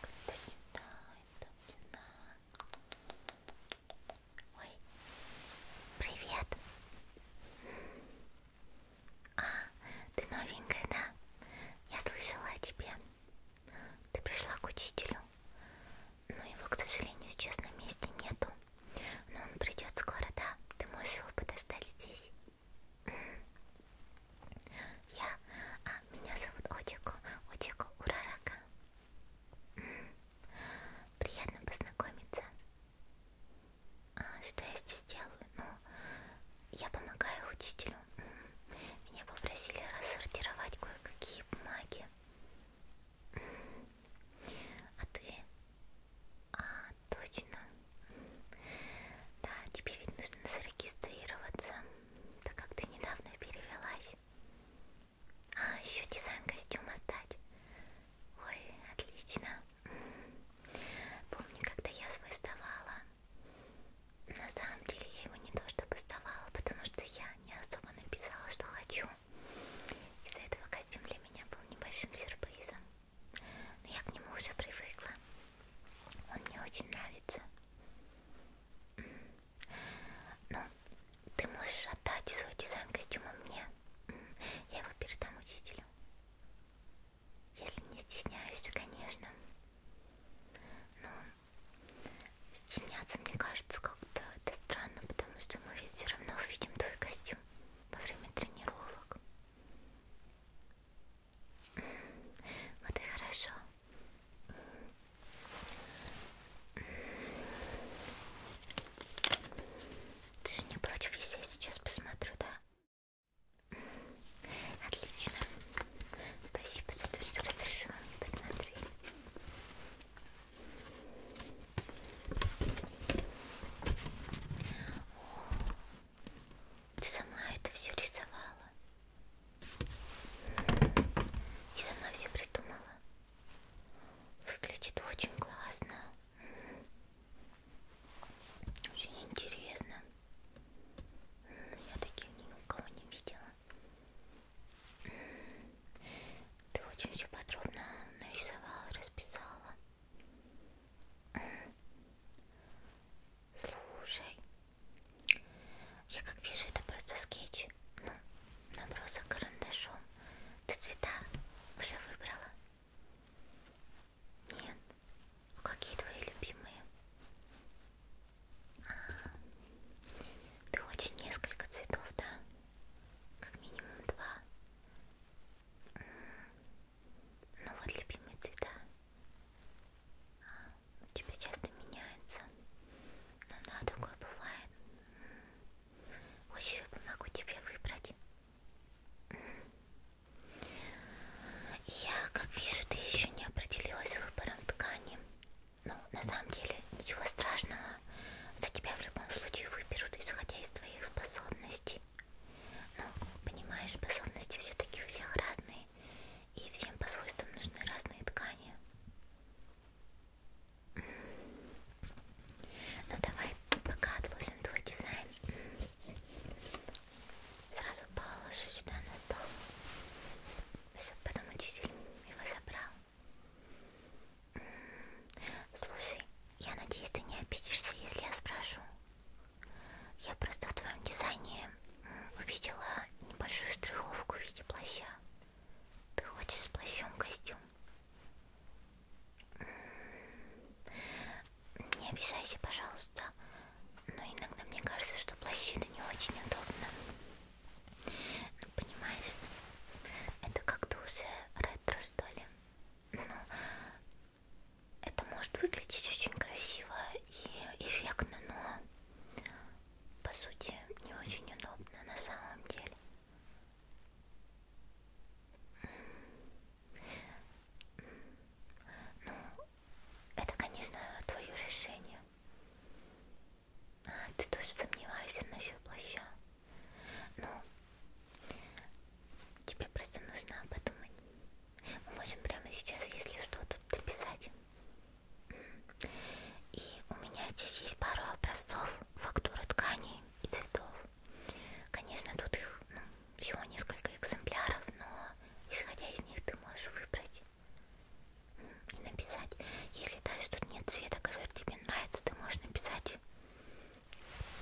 Как-то сюда, это сюда. Ой, привет. А, ты новенькая, да? Я слышала о тебе. Ты пришла к учителю. Но его, к сожалению, сейчас на месте нету. Но он придет скоро, да? Ты можешь его подождать здесь. Я... А, меня зовут Очико, Очико Урарака. М -м, приятно познакомиться. А, что я здесь делаю? Ну, я помогаю учителю. М -м, меня попросили рассортировать кое-какие бумаги. М -м, а ты... А, точно. Да, тебе ведь нужно зарегистрироваться так как ты недавно перевелась. А, еще дизайн костюма сдать. Ой, отлично. Помню, когда я свой сдавала. На самом деле я его не то чтобы сдавала, потому что я не особо написала, что хочу. Из-за этого костюм для меня был небольшим сюрпризом. Но я к нему уже привыкла. Он мне очень нравится. Ну, ты можешь отдать свой дизайн костюма мне. Я его передам учителю. Если не стесняешься, конечно. Но стесняться, мне кажется, как-то это странно, потому что мы ведь все равно увидим твой костюм во время тренировок. Вот и хорошо. Ты же не против, если я сейчас посмотрю, да? Отлично. Спасибо за то, что разрешила мне посмотреть. О, ты сама это все рисовала. И сама все придумала. Выглядит очень классно. Очень интересно. Я таких ни у кого не видела. Ты очень все подробно нарисовала, расписала. Слушай, я как вижу, это просто скетч. Ну, набросок карандашом. Ты цвета уже выбрала? Нет. А какие твои любимые? А, ты хочешь несколько цветов, да? Как минимум два. Ну вот любимые цвета. А, у типа, тебя часто меняется. Но ну да, такое бывает. Очень помогу тебе выбрать. Я, как вижу, ты еще не определилась с выбором ткани. Ну, на самом деле, ничего страшного. За тебя в любом случае выберут, исходя из твоих способностей. Ну, понимаешь, способности все-таки у всех разные и всем по свойствам нужны разные ткани. Ну давай пока отложим твой дизайн. Сразу положу сюда на стол, чтобы потом учитель его забрал. Слушай, я надеюсь, ты не обидишься, если я спрошу. Я просто в твоем дизайне увидела небольшую штриховку в виде плаща. Ты хочешь с плащом костюм? Не обижайся, пожалуйста, но иногда мне кажется, что плащи это не очень удобно. Ну, понимаешь, это как-то уже ретро, что ли. Ну, это может выглядеть очень красиво и эффектно, но по сути, не очень удобно на самом деле. Ну, это, конечно, твое решение. А, ты тоже сомневаешься насчет плаща. Ну, тебе просто нужно подумать. Мы можем прямо сейчас, если что, тут дописать. И у меня здесь есть пару образцов фактуры тканей и цветов. Конечно, тут их ну, всего несколько экземпляров, но исходя из них ты можешь выбрать и написать. Если даже тут нет цвета, который тебе нравится, ты можешь написать,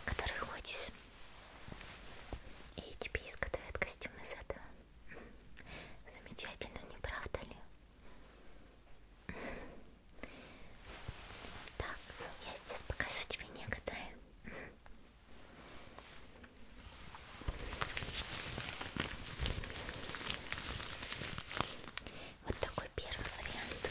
который хочешь. И тебе изготовят костюм из этого. Замечательно, не правда ли? Так, я сейчас покажу тебе некоторые. Вот такой первый вариант.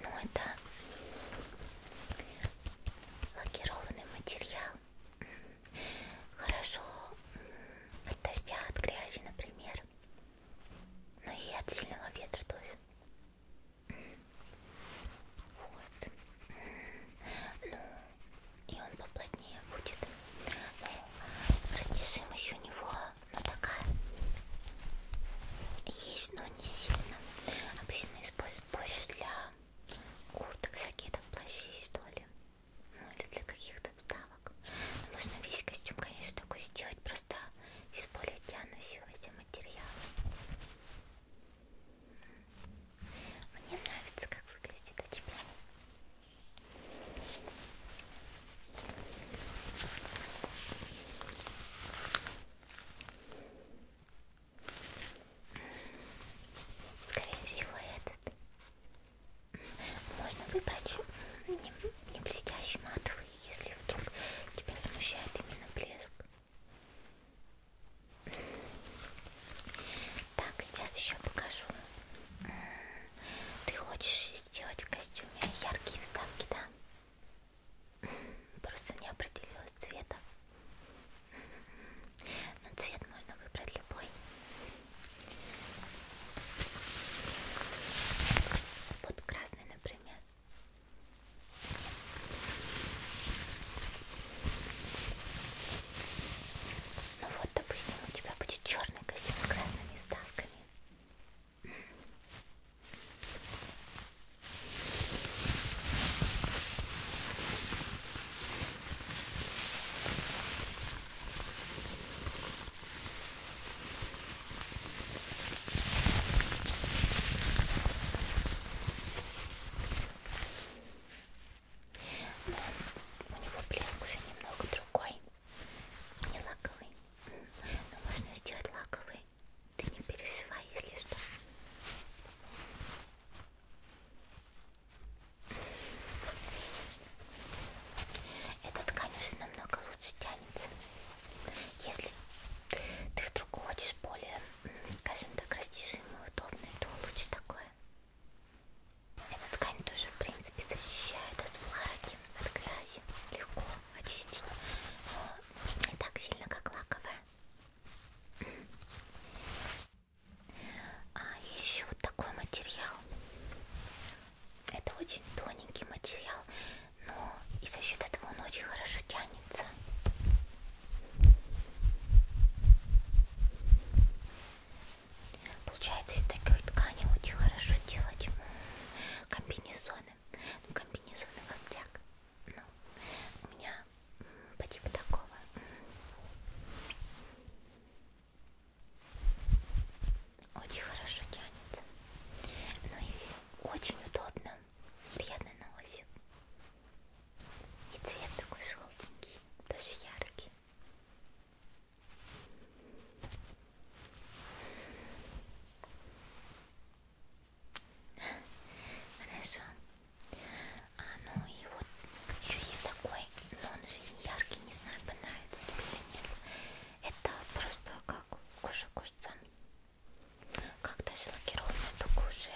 Но ну, это лакированный материал. Хорошо от дождя, от грязи, например. Но ну и от сильного ветра тоже. Вот. Ну, и он поплотнее будет. Но ну, растяжимость у него ну, такая есть, но не сильно. Обычно используют больше для курток, жакетов, плащей, что ли. Ну или для каких-то вставок. Но можно весь костюм, конечно, такой сделать, просто из более тянущегося материала. Мне нравится, как выглядит, а тебе? Скорее всего, этот. Можно выбрать не, не блестящий матовый, если вдруг тебя смущает именно блеск. Так, сейчас еще покажу ты хочешь сделать в костюме яркие вставки, да? Просто не определилась цвета. Но ну, цвет можно выбрать любой. Вот красный, например. Ну вот, допустим, у тебя будет черный красный костюм с красными вставками. Но ну, у него блеск уже немного другой. Не лаковый. Но можно сделать лаковый. Ты не переживай, если что. Эта ткань уже намного лучше тянется. Если ты вдруг хочешь более, скажем так, растяжимую, удобную, то лучше такое. Эта ткань тоже, в принципе, защищает от влаги, от грязи. Легко очистить, но а, не так сильно, как лаковая. А еще вот такой материал. Это очень тоненький материал, но и за счет этого он очень хорошо тянется. Получается, из такой ткани очень хорошо делать комбинезоны. Ну, комбинезоны в обтяг. Ну, у меня по типу такого. Очень хорошо тянется. Ну и очень удобно. Приятно на ощупь. И цвет такой желтенький, даже яркий. Хорошо. А, ну и вот еще есть такой, но он уже не яркий, не знаю, понравится тебе или нет. Это просто как кожа кожца. Как даже лакированная, только уже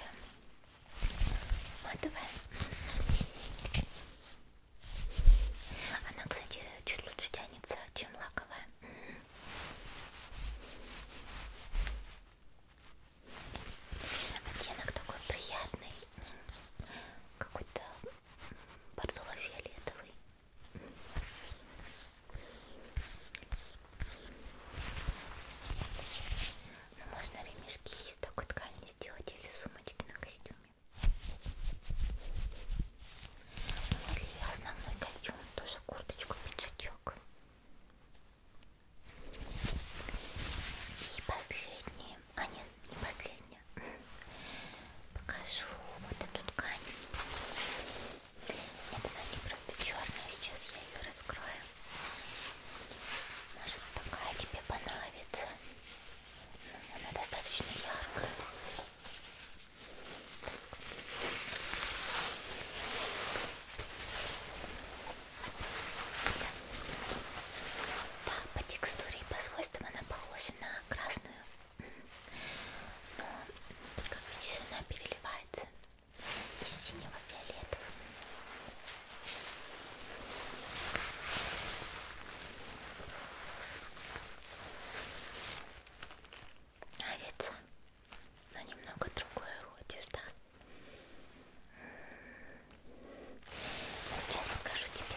матовая. Она, кстати, чуть лучше тянется, чем лаковая. Оттенок такой приятный, какой-то бордово-фиолетовый. Ну, можно ремешки из такой ткани сделать или сумочки на костюме. Для основной костюм тоже курточку, пиджачок. И последнее, а нет, не последнее, покажу вот эту ткань. Нет, она не просто черная, сейчас я ее раскрою. Может такая тебе понравится. Она достаточно яркая. Да, по текстуре и по свойствам она похожа на красную. Но, как видишь, она переливается из синего в фиолетовый. Нравится? Но ну, немного другое хочешь, да? Ну, сейчас покажу тебе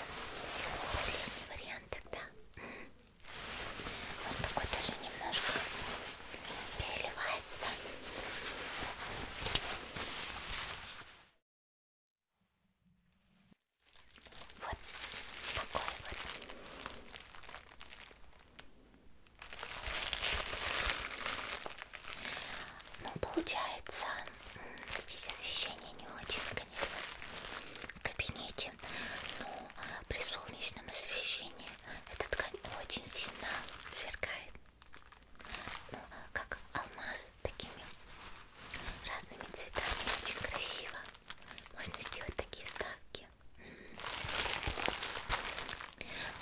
последний вариант тогда. Он такой тоже немножко переливается. Вот такой вот. Ну, получается, здесь освещение не очень, конечно, в кабинете, но при солнечном освещении эта ткань очень сильно сверкает. Ну, как алмаз такими разными цветами очень красиво можно сделать такие вставки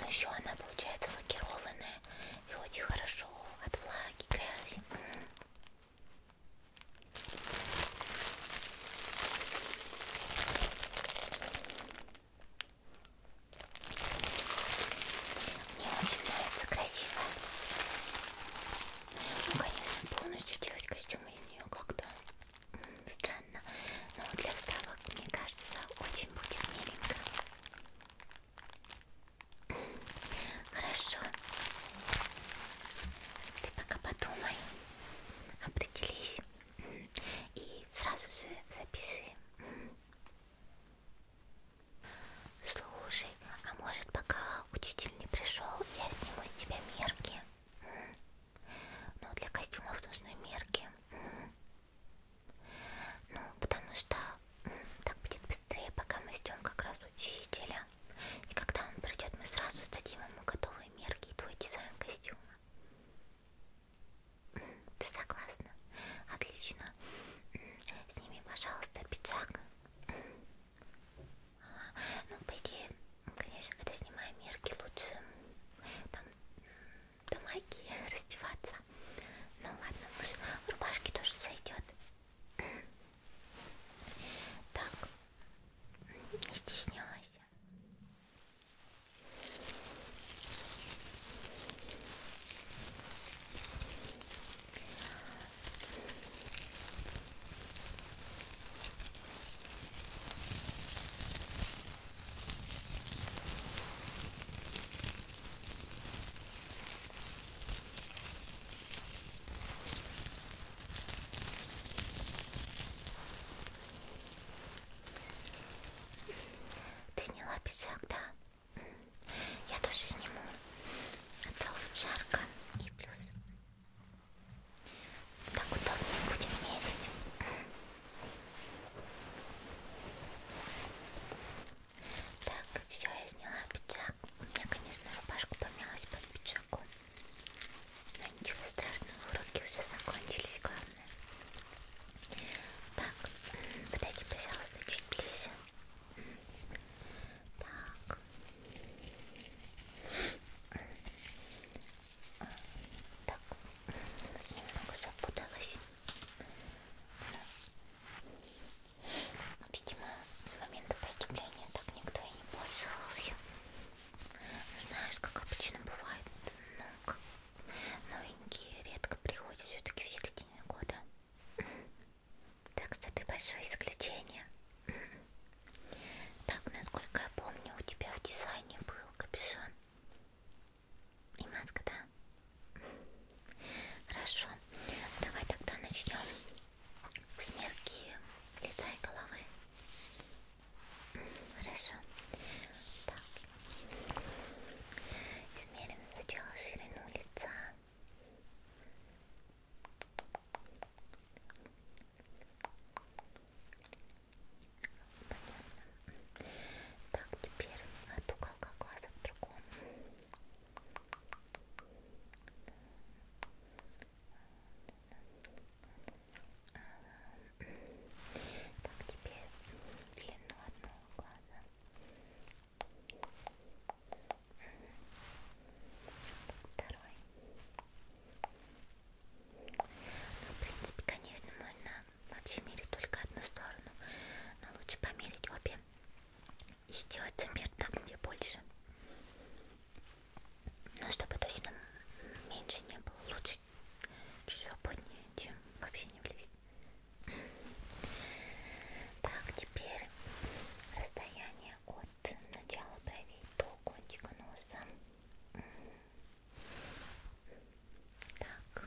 но еще она получается лакированная и очень хорошо от влаги грязи мне очень нравится красивая ну, конечно, полностью делать костюм из нее как-то странно. Но для вставок, мне кажется, очень будет миленько. Хорошо. Ты пока подумай, определись и сразу же запиши. Слушай, а может пока учитель не пришел, я сниму с тебя мерки? Ну, для костюмов нужны мерки. Ну, потому что так будет быстрее, пока мы ждем как раз учителя. И когда он придет, мы сразу сдадим ему готовые мерки и твой дизайн костюма. Ты согласна? Отлично. Сними, пожалуйста, пиджак. Ну, по идее, конечно, когда снимаем мерки, лучше там до магии раздеваться. Ну ладно, в рубашке тоже сойдет. Так, не стеснялась. Ты сняла пиджак, да? Я тоже сниму, а то жарко и плюс так удобно будет мерить. Так, все, я сняла пиджак. У меня, конечно, рубашка помялась под пиджаком. Но ничего страшного, уроки уже закончились, главное. Так, подойди, пожалуйста, чуть ближе. Так. Так, немного запуталась. Видимо, с момента поступления так никто и не пользовался. Знаешь, как обычно бывает, но как новенькие редко приходят все-таки в середине года. Так что ты большое исключение. Так, насколько я помню, у тебя в дизайне был капюшон. И маска, да? Хорошо. Давай тогда начнем с мерки лица и головы. Хорошо. Так. Измерим сначала ширину лица. Понятно. Так, теперь от уголка глаза к другому. Так, теперь длину одного глаза. Второй. Ну, в принципе, конечно, можно вообще мерить только одну сторону, но лучше померить обе и сделать замер там, где больше. Но ну, чтобы точно меньше не было, лучше чуть свободнее, чем вообще не влезть. Так, теперь расстояние от начала бровей до кончика носа. Так,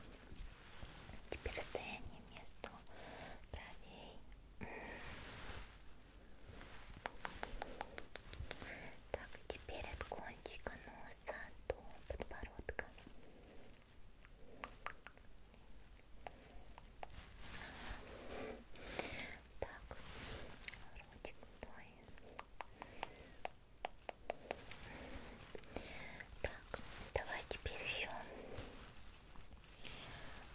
теперь расстояние между бровей. Так, теперь от кончика носа до подбородка. Так, ротик твой. Так, давай теперь еще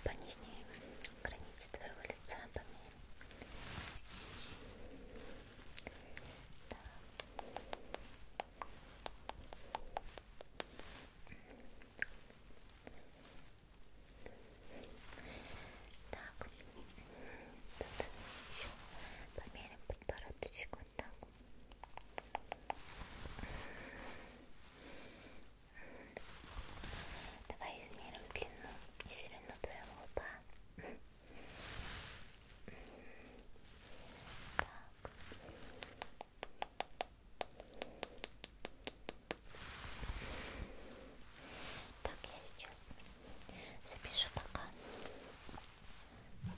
по нижней границе твоего лица померим. Так. Так, тут еще померим подбородочек вот так. Давай измерим длину и ширину твоего лба. Так. Так, я сейчас запишу пока. Так,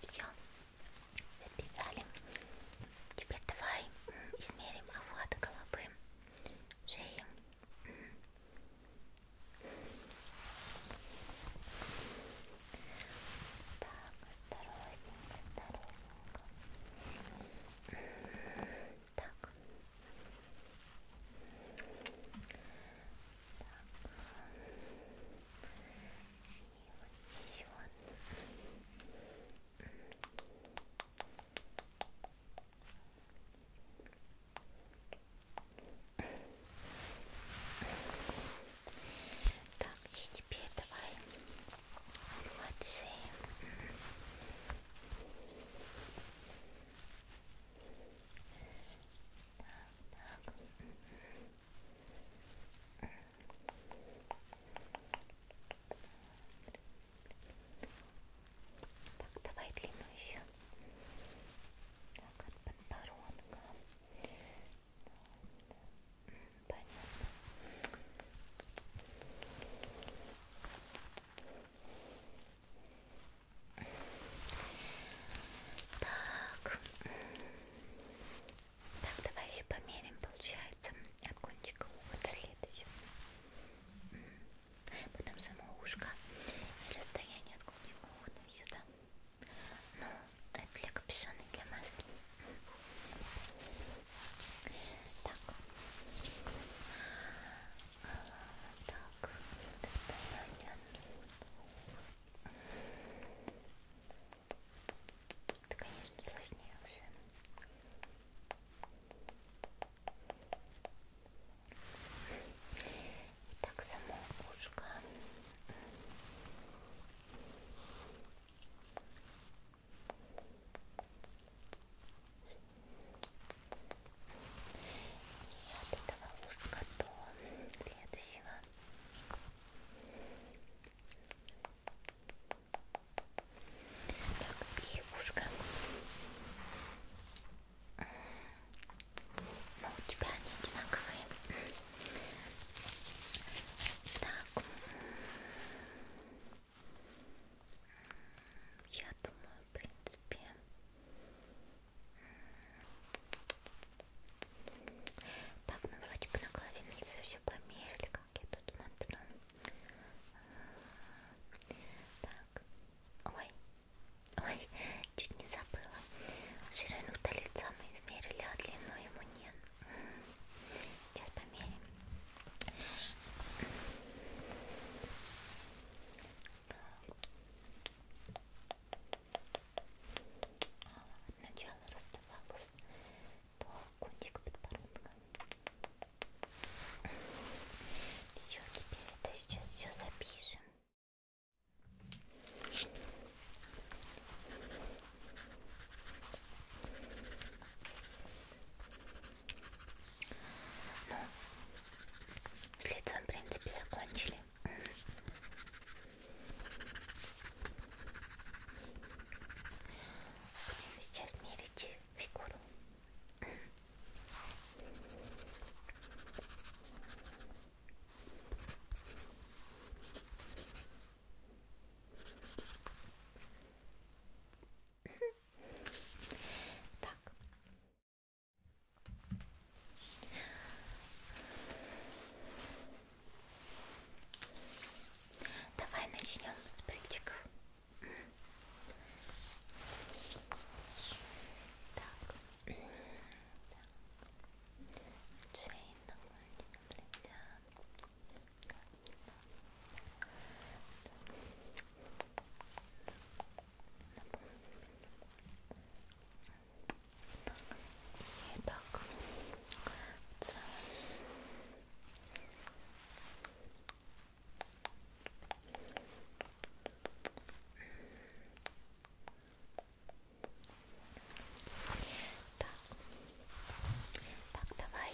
Все, записали. Теперь давай измерим овод головы, шеи. Так, осторожненько, осторожненько. Так. Так. И вот здесь вот. Так, и теперь давай от шеи так. так, давай длину еще. Так, от подбородка. Понятно. Так, так. Так, давай еще померим, получается, от кончика уха до следующего. Потом само ушко и расстояние от кончика уха до сюда. Ну, это для капюшона и для маски. Так. Так, расстояние. Это, конечно, сложнее уже. Так, само ушко. И от этого ушка до следующего. Так, и ушко. Но у тебя они одинаковые. Так. Я думаю, в принципе, так, мы вроде бы на клавиатуре все померили, как я тут смотрю. Так, ой, ой, чуть не забыла. Ширину-то лица мы измерили, а длину ему нет. Сейчас померим от начала роста волос до кончика подбородка. Все, теперь это сейчас все запишем. Ну, с лицом, в принципе, закончили. Будем сейчас мерить фигуру. Так. Давай начнем с брючков. Так. Так напомню и так в целом так, так давай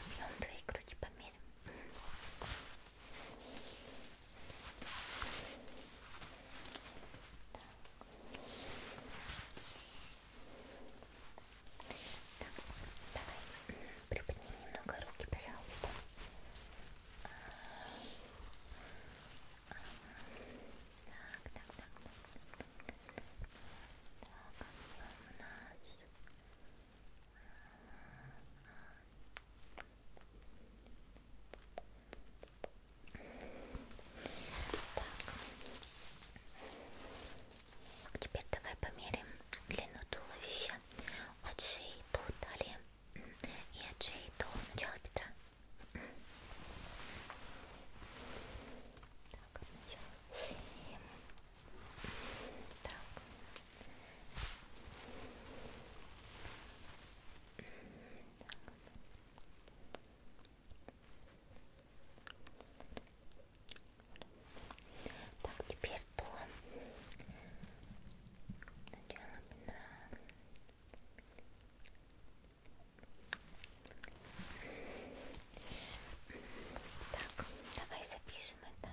объем твоей груди померим так, давай приподними немного руки, пожалуйста. А, а, так, так, так, так. Так, у нас так, теперь давай померим длину туловища от шеи до талии и от шеи до начала бедра. Так, начало шеи. Так, так, теперь то начало бедра. Так, давай запишем это.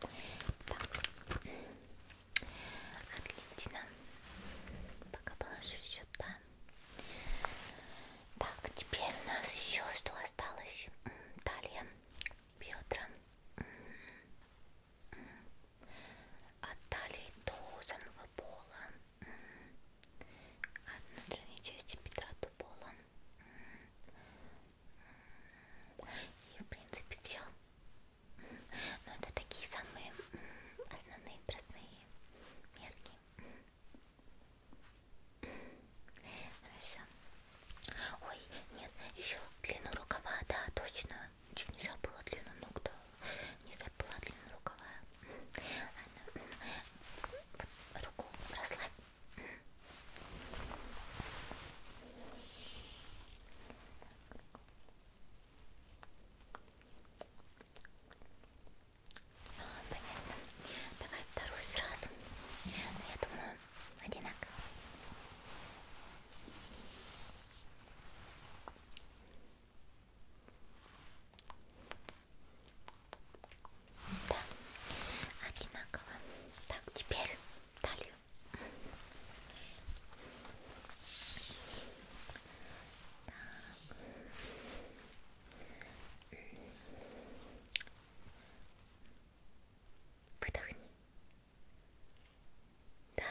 Так. Отлично. Пока положу сюда. Так, теперь у нас еще что осталось? Талия, бедра. От а талии до самого пола. От внутренней части бедра до пола. И в принципе все. Ну, это такие самые основные, простые мерки. Хорошо. Ой, нет, еще длину рукава, да, точно. Чуть не забыла длину ног, да. Не забыла длину рукава. Ладно. Вот, руку расслабь. А, понятно. Давай вторую сразу. Но ну, я думаю, одинаково. Да, одинаково. Так, теперь талию. Так. Выдохни. Да.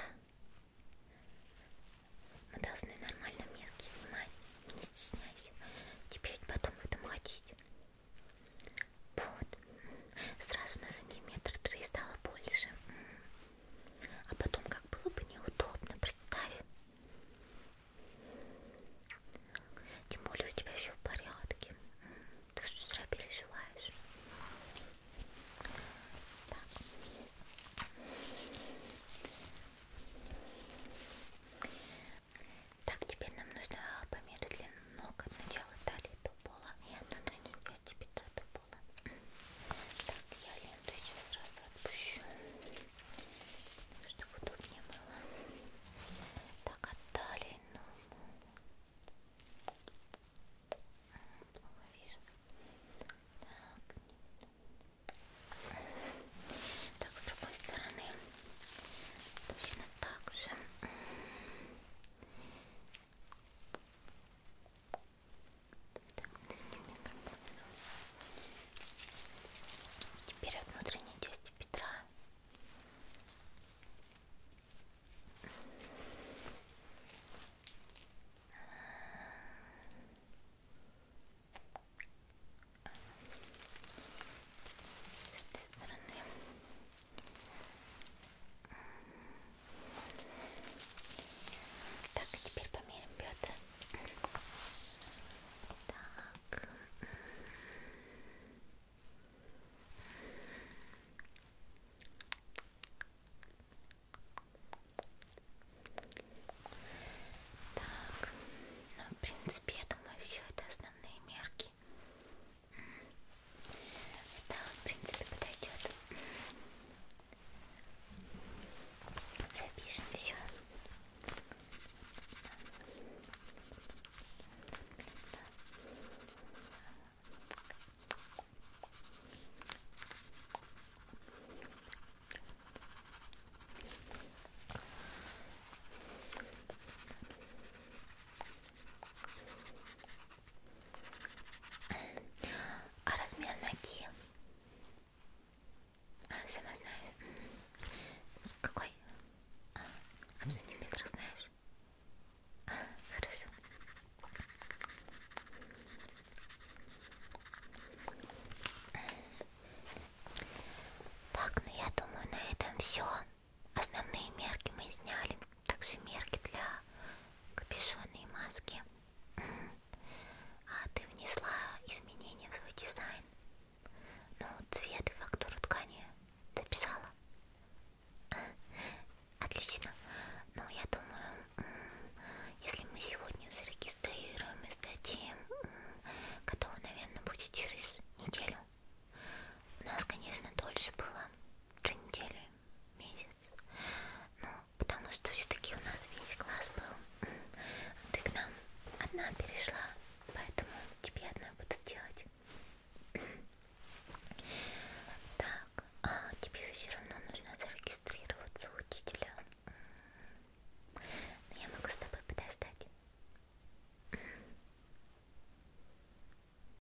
Мы должны нормально мерки снимать. Не стесняйся. Теперь потом в этом ходить. Вот. Сразу на сантиметр три стало больше. А потом как было бы неудобно, представь. Тем более у тебя все в порядке. Ты с утра переживаешь. Так. так, теперь нам нужно померить длину ног от начала талии до пола и одну на части бедра до пола. Так, я ленту сейчас сразу отпущу, чтобы удобнее было. Так, от талии, но... Плохо вижу. Так, нет. Так, с другой стороны точно так же. Теперь от внутренней части бедра. С этой стороны. Так, а теперь померим бедра. Так. Так, ну, в принципе, я думаю, все это основные мерки. Да, в принципе, подойдет. Запишем все. Так, а размер ноги? А, сама знаю. С какой? А, а в сантиметрах знаешь? А, хорошо. Так, ну я думаю, на этом все. Основные мерки мы сняли, также мерки для капюшона и маски. А ты внесла изменения в свой дизайн? Ну, цвет и фактуру ткани дописала? Отлично. Но ну, я думаю, если мы сегодня зарегистрируем и сдадим, готово, наверное, будет через неделю. У нас, конечно, дольше было. Три недели месяц. Ну, потому что все-таки у нас весь класс был. Ты к нам одна перешла, поэтому тебе одна буду делать. Так, а тебе все равно нужно зарегистрироваться у учителя. Но я могу с тобой подождать.